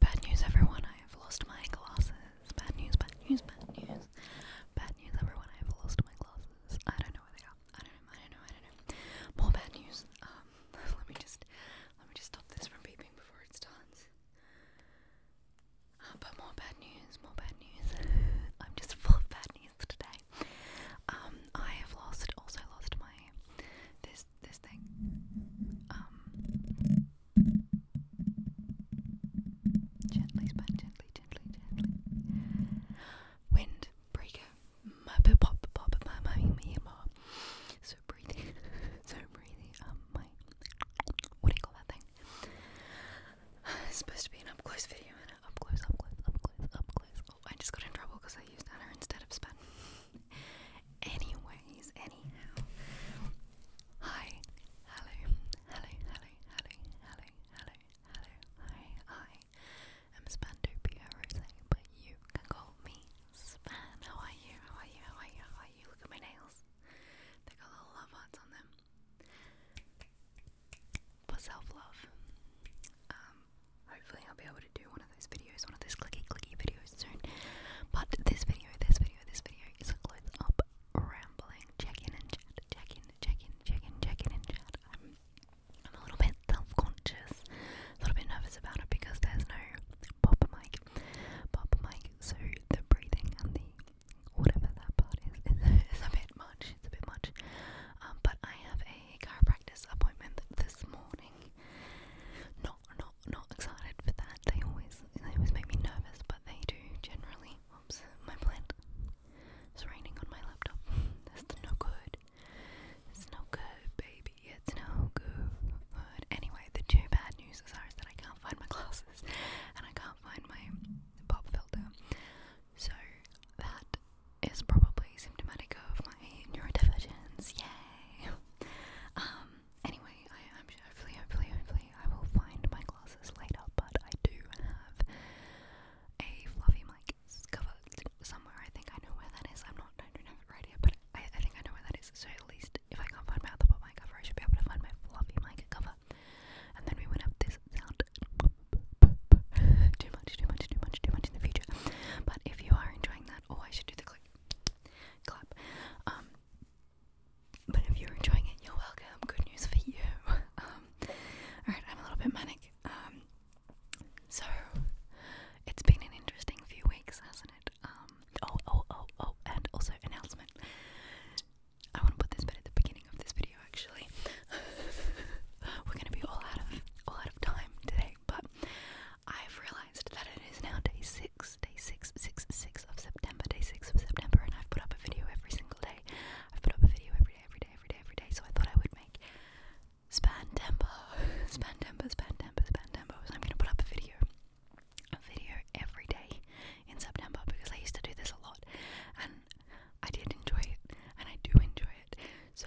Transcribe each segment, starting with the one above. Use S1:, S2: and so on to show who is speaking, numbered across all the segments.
S1: Bad news, everyone. I have lost my glasses. Bad news, bad news, bad news. Bad news, everyone. I have lost my glasses. I don't know where they are. I don't know. I don't know. I don't know. More bad news. Um, let me just let me just stop this from beeping before it starts. Uh, but more bad news. More bad news. I'm just full of bad news today say. Um, I have lost, also lost my this this thing. Um, gently, span, gently, gently, gently. Wind breaker, pop, pop, my, my, me, ma. So breathing, so breathing. Um, my what do you call that thing? It's supposed to be an up close video, and up close, up close, up close, up close, Oh, I just got in trouble because I used Anna instead of Span. Anyways, anyhow. Hi, hello, hello, hello, hello, hello, hello, hello, hi, I am Spandopia Rose, but you can call me Span. How are you? How are you? How are you? How are you? Look at my nails. They got little love hearts on them. For self love. Um, hopefully I'll be able to do one of those videos, one of those clicky clicky videos soon. But this video, this video, this video is a close up rambling check and chat, check in, check in, and chat. I'm, I'm a little bit self conscious, a little bit nervous about it because there's no pop mic, pop mic, so the breathing and the whatever that part is is, a bit much. It's a bit much. Um, but I have a chiropractor's appointment this morning morning. Not not not excited for that. They always they always make me nervous, but they do generally. Oops, my plant is raining on my laptop. That's no good. It's no good, baby. It's no good. Anyway, the two bad news is that I can't find my glasses and I can't find my pop filter. So that is probably symptomatic of my neurodivergence. Yay! Um. Anyway, I hopefully, hopefully, hopefully, I will find my glasses later. But I do have a fluffy mic cover somewhere. I think I know where that is. I'm not. I right here, but I, think I know where that is. So at least if I can't find my other mic cover, I should be able to find my fluffy mic cover. And then we would have this sound. too much, too much, too much, too much in the future. But if you are enjoying Oh, I should do the click clap. Um, but if you're enjoying it, you're welcome. Good news for you. Um, alright, I'm a little bit manic. Um, so it's been an interesting few weeks, hasn't it? oh, oh, oh, oh, and also announcement. I want to put this bit at the beginning of this video, actually. We're gonna be all out of all out of time today, but I've realized that it is now day six, day six, six, six of September, day six of September, and I've put up a video every single day. I've put up a video every day, every day, every day, every day. So I thought I would make span tempo, span tempo, span tempo, span tempo. I'm gonna put up a video, a video every day in September because I used to do this a lot, and I did enjoy it, and I do enjoy it. So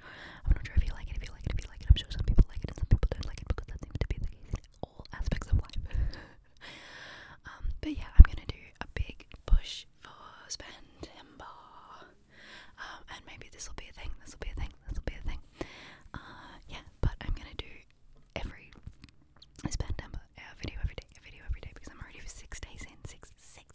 S1: I'm not sure if you like it, if you like it, if you like it. I'm sure some people like it and some people don't like it because that seems to be all aspects of life. Um, but yeah, I'm gonna do a big push for September. Um, and maybe this will be a thing, this will be a thing, this will be a thing. Uh, yeah, but I'm gonna do every September, a video every day, a video every day because I'm already for six days in, six, six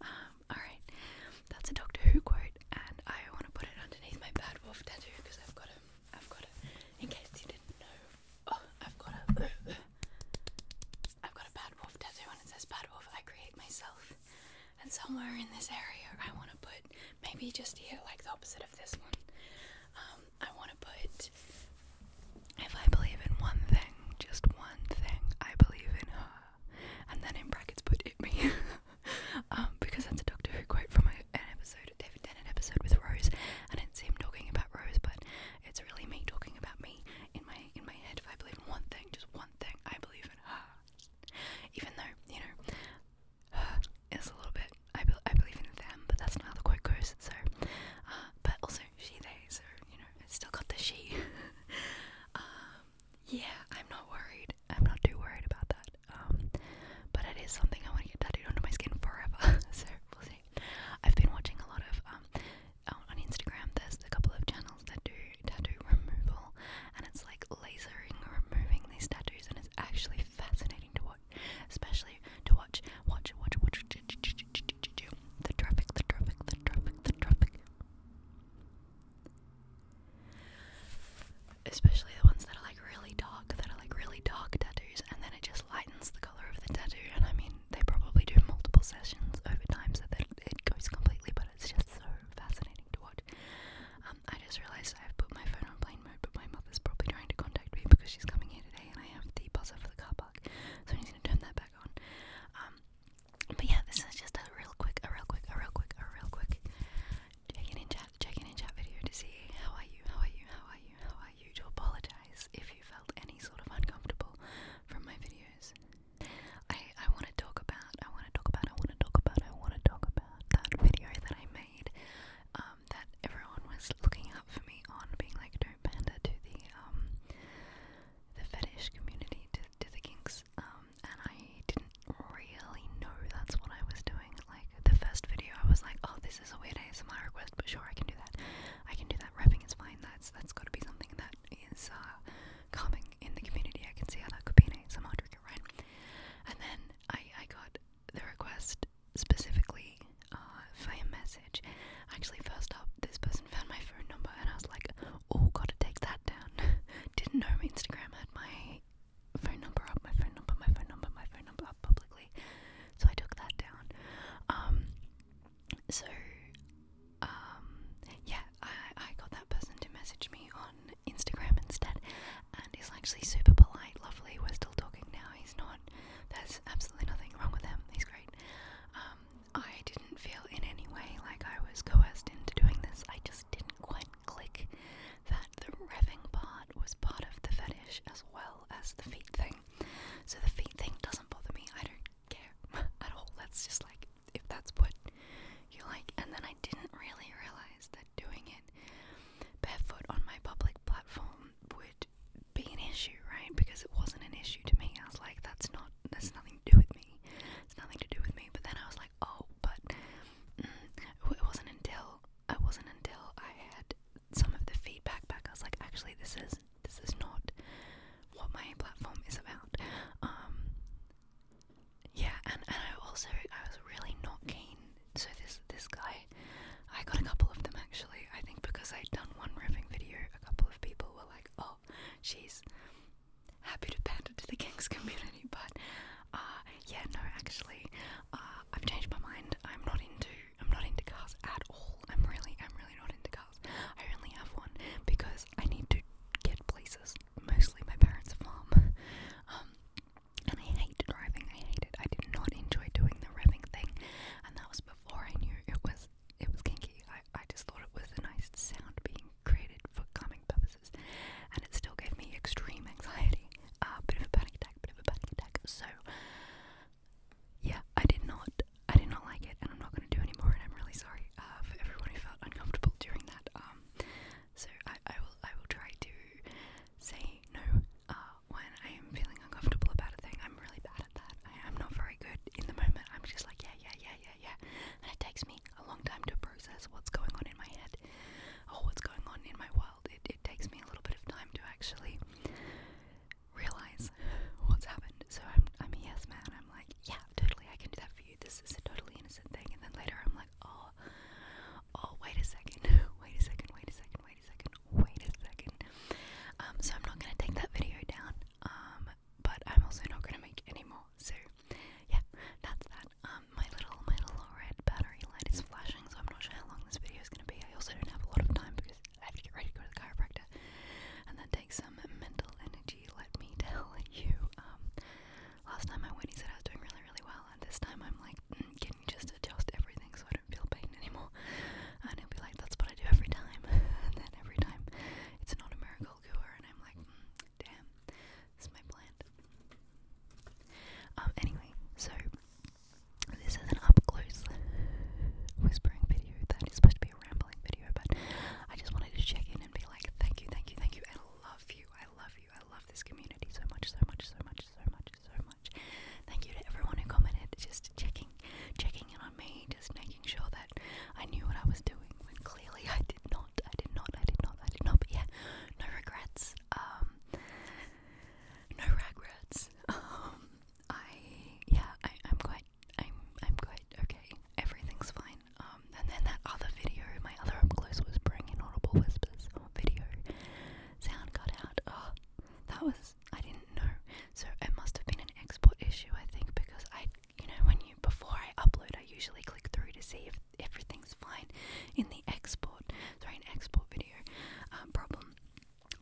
S1: um, Alright, that's a Doctor Who quote, and I want to put it underneath my bad wolf tattoo because I've got it. I've got it. In case you didn't know, oh, I've got it. Uh, uh. I've got a bad wolf tattoo, and it says "bad wolf." I create myself, and somewhere in this area, I want to put maybe just here, like the opposite of this one. Um, I want to put if I believe in one thing, just one thing, I believe in her and then in brackets put it me, um, because that's a Doctor Who quote from an episode, David Tennant episode with Rose, and it's him talking about Rose, but it's really me talking about me in my in my head. If I believe in one thing, just one thing, I believe in her. Even though you know, her is a little bit. I I believe in them, but that's not how the quote goes. So, uh, but also she there, So you know, it's still got the she. Um, yeah, I'm not worried. I'm not too worried about that. but it is something I want to get tattooed onto my skin forever. so we'll see. I've been watching a lot of um on Instagram. There's a couple of channels that do tattoo removal, and it's like lasering, removing these tattoos, and it's actually fascinating to watch, especially to watch, watch, watch, watch. The traffic, the traffic, the traffic, the traffic. Especially the ones that are like really dark, that are like really dark tattoos, and then it just lightens the color of the tattoo. And I mean, they probably do multiple sessions over time so that it goes completely, but it's just so fascinating to watch. Um, I just realized I've put my phone on plane mode, but my mother's probably trying to contact me because she's coming here today and I have the buzzer for the car park, so I need to turn that back on. Um, but yeah, this is just a real quick, a real quick, a real quick, a real quick check in in chat, check in in chat video to see how are you, how are you, how are you, how are you. To apologize if you felt any sort of uncomfortable from my videos. I I want to talk about, I want to talk about, I want to talk about, I want to talk about that video that I made. Um, that everyone was looking up for me on being like don't pander to the um the fetish community to the kinks, um, and I didn't really know that's what I was doing. Like, the first video, I was like, oh, this is a weird ASMR request, but sure, I can do that. I can do that. Rapping is fine. That's that's got to be something that is uh, coming in the community. I can see how that could be an ASMR trigger, right? And then I, I got the request specifically uh, for a message. Actually, first up, this person found my phone number, and I was like, Oh, gotta take that down. Didn't know Instagram had my phone number up, my phone number, my phone number, my phone number up publicly. So I took that down. Um, so, um, yeah, I, I got that person to message me on Instagram instead, and he's actually super polite, lovely. We're still talking now. He's not, there's absolutely nothing wrong with him. He's great. Um, I didn't feel in any way like I was coerced into doing this, I just didn't did click that the revving part was part of the fetish as well as the feet thing. So the feet thing doesn't bother me. I don't care at all. That's just like if that's what you like. And then I didn't really realize that doing it barefoot on my public platform would be an issue, right? Because it wasn't an issue to me. I was like, that's not, that's nothing to do with me. It's nothing to do with me. But then I was like, oh, but mm, it wasn't until it wasn't until I had some of the feedback back. I was like, actually, this is this is not what my platform is about. Um, yeah, and, and I also I was really not keen. So this this guy, I got a couple of them actually. I think because I'd done one riffing video, a couple of people were like, oh, she's happy to pander to the gangs community, but uh, yeah, no, actually, uh, I've changed my mind. I'm not into I'm not into cars at all. I'm really I'm really not into cars. I only have one because I need to get places. Mostly my parents' farm. Um, and I hate driving. I hate it. I did not enjoy doing the revving thing, and that was before I knew it was it was kinky. I I just thought it was a nice sound being created for calming purposes, and it still gave me extreme anxiety, a uh, bit of a panic attack, bit of a panic attack. So, yeah, I did not, I did not like it, and I'm not going to do any more. And I'm really sorry uh, for everyone who felt uncomfortable during that. Um, so I, I will, I will try to say no uh, when I am feeling uncomfortable about a thing. I'm really bad at that. I am not very good in the moment. I'm just like yeah, yeah, yeah, yeah yeah, yeah. And it takes me a long time to process what's going on in my head or oh, what's going on in my world. It, it takes me a little bit of time to actually realize what's happened. So I'm, I'm a yes man. I'm like, yeah, totally, I can do that for you. This is a totally innocent thing. And then later I'm like, oh, oh, wait a second, wait a second, wait a second, wait a second, wait a second. Um, so I'm not going to take that video down. Um, but I'm also not going to make any more well. So yeah, that's that. Um, my little my little red battery light is flashing, so I'm not sure how long this video is gonna be. I also don't have a lot of time because I have to get ready to go to the chiropractor, and that takes some mental energy. Let me tell you. Um, last time I went, he said I was doing really really well, and this time I'm like, mm, can you just adjust everything so I don't feel pain anymore? And he'll be like, that's what I do every time, and then every time it's not a miracle cure, and I'm like, mm, damn. That's my plan. Um, anyway, so this is an up close whispering video that is supposed to be a rambling video, but I just wanted to check in and be like, thank you, thank you, thank you. I love you. I love you. I love this community so much, so much, so much, so much, so much. Thank you to everyone who commented, just checking, checking in on me, just making sure that I knew what I was doing when clearly I did not, I did not, I did not, I did not, but yeah, no regrets, um, no regrets, um, I, yeah, I, I'm quite, I'm, I'm quite okay, everything's fine, um, and then that other video, my other up close whispering inaudible whispers oh, video, sound got out, oh, that was, I didn't know, so it must have been an export issue, I think, because I you know, when you before I upload, I usually click through to see if everything's fine in the export. Sorry, an export video um,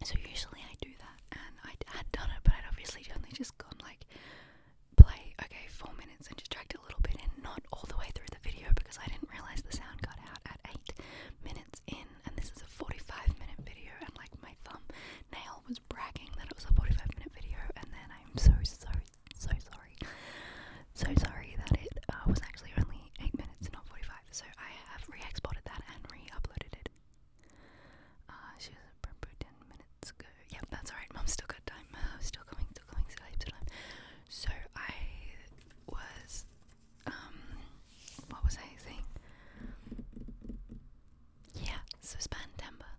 S1: So usually I do that, and I had done it, but I'd obviously only just gone like play okay four minutes and just dragged a little bit in, not all the way through the video because I didn't realize the sound got out at eight minutes in, and this is a forty-five minute video, and like my thumb nail was bragging that it was a forty-five minute video, and then I'm so sorry. So sorry. So sorry that it uh, was actually only 8 minutes, and not 45. So I have re exported that and re uploaded it. Uh, she was at Brentwood 10 minutes ago. that's alright. Mum's still got time. Uh, still coming, still coming, still heaps of time. So I was. Um, what was I saying? Yeah, so September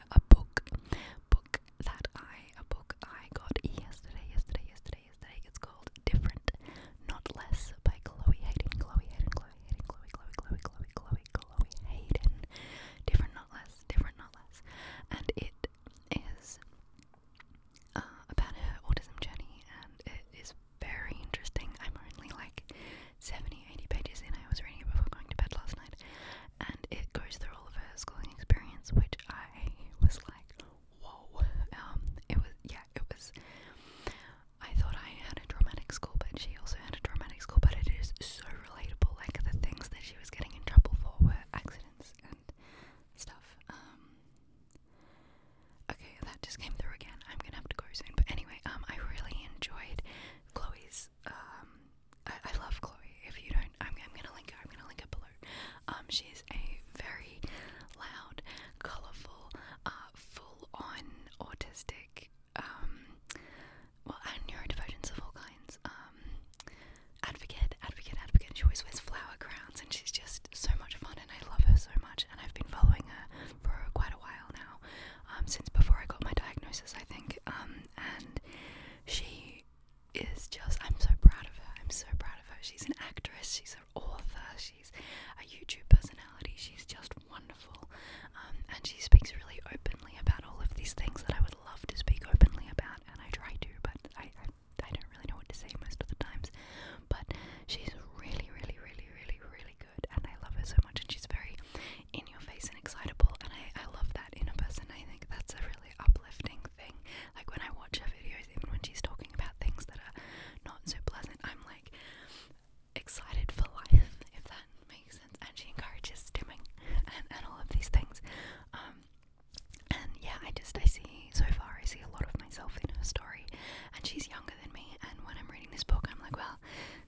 S1: a book book that I a book I got yesterday, yesterday, yesterday, yesterday. It's called Different Not Less by Chloe Hayden. Chloe Hayden, Chloe Hayden, Chloe, Chloe, Chloe, Chloe, Chloe, Chloe Hayden. Different Not Less, Different Not Less. And it is uh, about her autism journey and it is very interesting. I'm only like 70, 80 pages and I was reading it before going to bed last night, and it goes through all of her schooling experience, which I was like, whoa. Um, it was, yeah, it was. I thought I had a dramatic school, but she also had a dramatic school, but it is so relatable. Like, the things that she was getting in trouble for were accidents and stuff. Um, okay, that just came through again. I'm gonna have to go soon, but anyway, um, I really enjoyed Chloe's um, I, love Chloe. If you don't, I'm, gonna link her. I'm gonna link her below. Um, she's a very loud, colorful, uh, full-on autistic, um, well, and neurodivergence of all kinds. Um, advocate, advocate, advocate. She always wears flower crowns, and she's just so much fun, and I love her so much. And I've been following her for quite a while now. Um, since before I got my diagnosis, I think. Um, and she is just, I'm so proud of her. I'm so proud of her. She's an actress, she's an author, she's a YouTube personality. She's just wonderful. Um, and she speaks really openly about all of these things that I would love to speak openly about, and I try to, but I I don't really know what to say most of the times, but she's really, really, really, really, really good, and I love her so much. And she's very, in your face and excitable, and I, I love that in a person. I think that's a really uplifting thing. Like when I watch her videos, even when she's talking about things that are not so pleasant, I'm like excited for life, if that makes sense. And she encourages stimming and, and all of these things. Um, and yeah, I just, I see, so far, I see a lot of myself in her story. And she's younger than me. And when I'm reading this book, I'm like, well,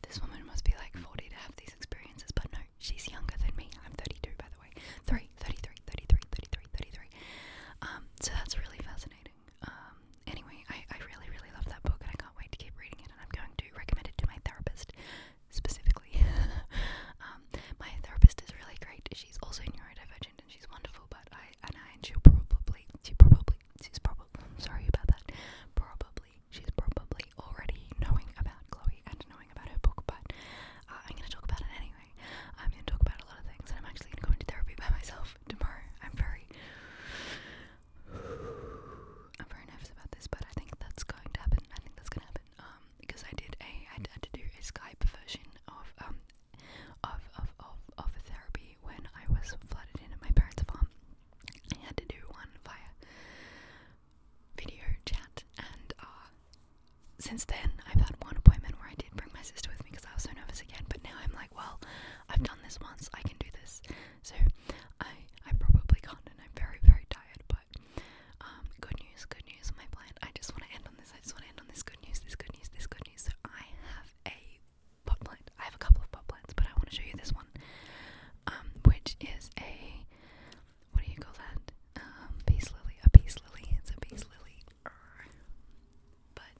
S1: this woman must be like 40 to have these experiences. But no, she's younger than me. I'm 32, by the way. 3, 33, 33, 33, 33. Um, so that's really fascinating. Um, anyway, I, I really, really love that book and I can't wait to keep reading it. And I'm going to recommend it to my therapist specifically. um, my therapist is really great. She's also neurodivergent and she's wonderful, but I, and I, and she'll probably, she probably, she's probably, I'm sorry about that, probably she's probably already knowing about Chloe and knowing about her book, but uh, I'm gonna talk about it anyway. I'm gonna talk about a lot of things, and I'm actually gonna go into therapy by myself tomorrow. I'm very, I'm very nervous about this, but I think that's going to happen. I think that's gonna happen. Um, because I did a, I had to do a Skype version of um, of of of of a therapy when I was flooded in my parents' farm. I had to do one via video chat, and uh, since then I've had one appointment where I did bring my sister with me because I was so nervous again. But now I'm like, well, I've done this once, I can do this. So I I probably can't, and I'm very very tired. But um, good news, good news. My plan. I just want to end on this. I just want to end on this good news, this good news, this good news. So I have a pot plant. I have a couple of pot plants, but I want to show you this one. Um, which is a what do you call that? Um, peace lily. A peace lily. It's a peace lily. But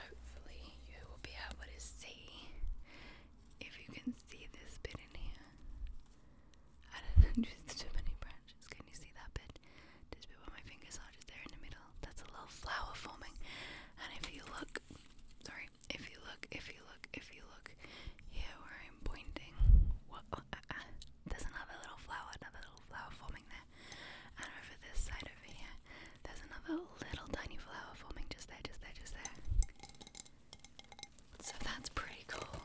S1: hopefully you will be able to see if you can see this bit in here. I don't know, there's too many branches. Can you see that bit? This bit my fingers just there in the middle. That's a little flower forming. And if you look, sorry, if you look, if you look, if you look here where I'm pointing, uh, uh, uh, there's another little flower, another little flower forming there, and over this side over here, there's another little tiny flower forming just there, just there, just there. So that's pretty cool.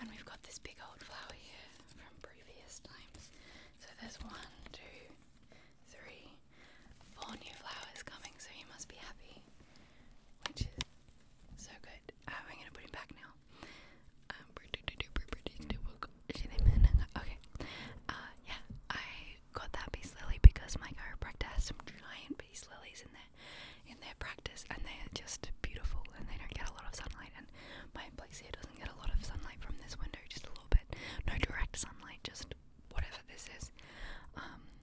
S1: And we've got this big old flower here from previous times. So there's one, two, three, four new flowers coming, so you must be happy which is so good. Um, I'm gonna put it back now. okay. Uh, yeah, I got that base lily because my chiropractor has some giant base lilies in their in their practice, and they are just beautiful, and they don't get a lot of sunlight. And my place here doesn't get a lot of sunlight from this window, just a little bit. No direct sunlight, just whatever this is. Um,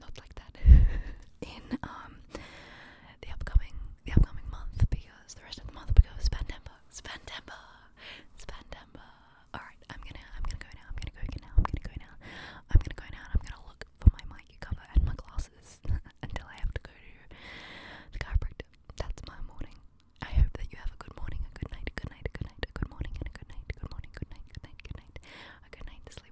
S1: not like that in um the upcoming the upcoming month because the rest of the month we go Spandemba, Spandemba, Spandemba. Alright, I'm gonna I'm gonna go now, I'm gonna go now, I'm gonna go now, I'm gonna go now and I'm gonna look for my mic cover and my glasses until I have to go to the chiropractor. That's my morning. I hope that you have a good morning, a good night, a good night, a good night, a good morning, and a good night, good morning, good night, good night, good night, a good night to sleep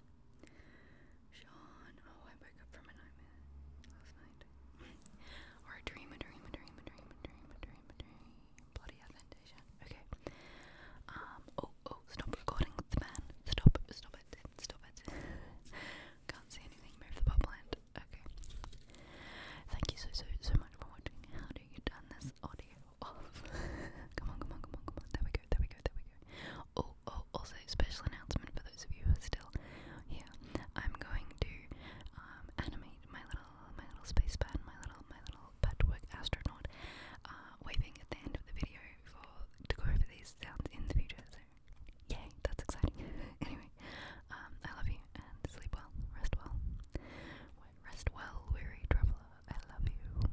S1: Sean, oh, I woke up from a nightmare last night. or a dream, a dream, a dream, a dream, a dream, a dream, a dream. Bloody adventation. Okay. Um, oh, oh, stop recording, the man. Stop, stop it, stop it. Can't see anything, move the pop Okay. Thank you so, so, so much for watching. How do you get this audio? come on, come on, come on, come on. There we go, there we go, there we go. Oh, oh, also, special announcement for those of you who are still here. I'm going to um, animate my little, my little space band, my little, my little patchwork astronaut, uh, waving at the end of the video for to go over these sounds in the future. So, yay, that's exciting. anyway, um, I love you and sleep well, rest well. Rest well, weary traveler. I love you.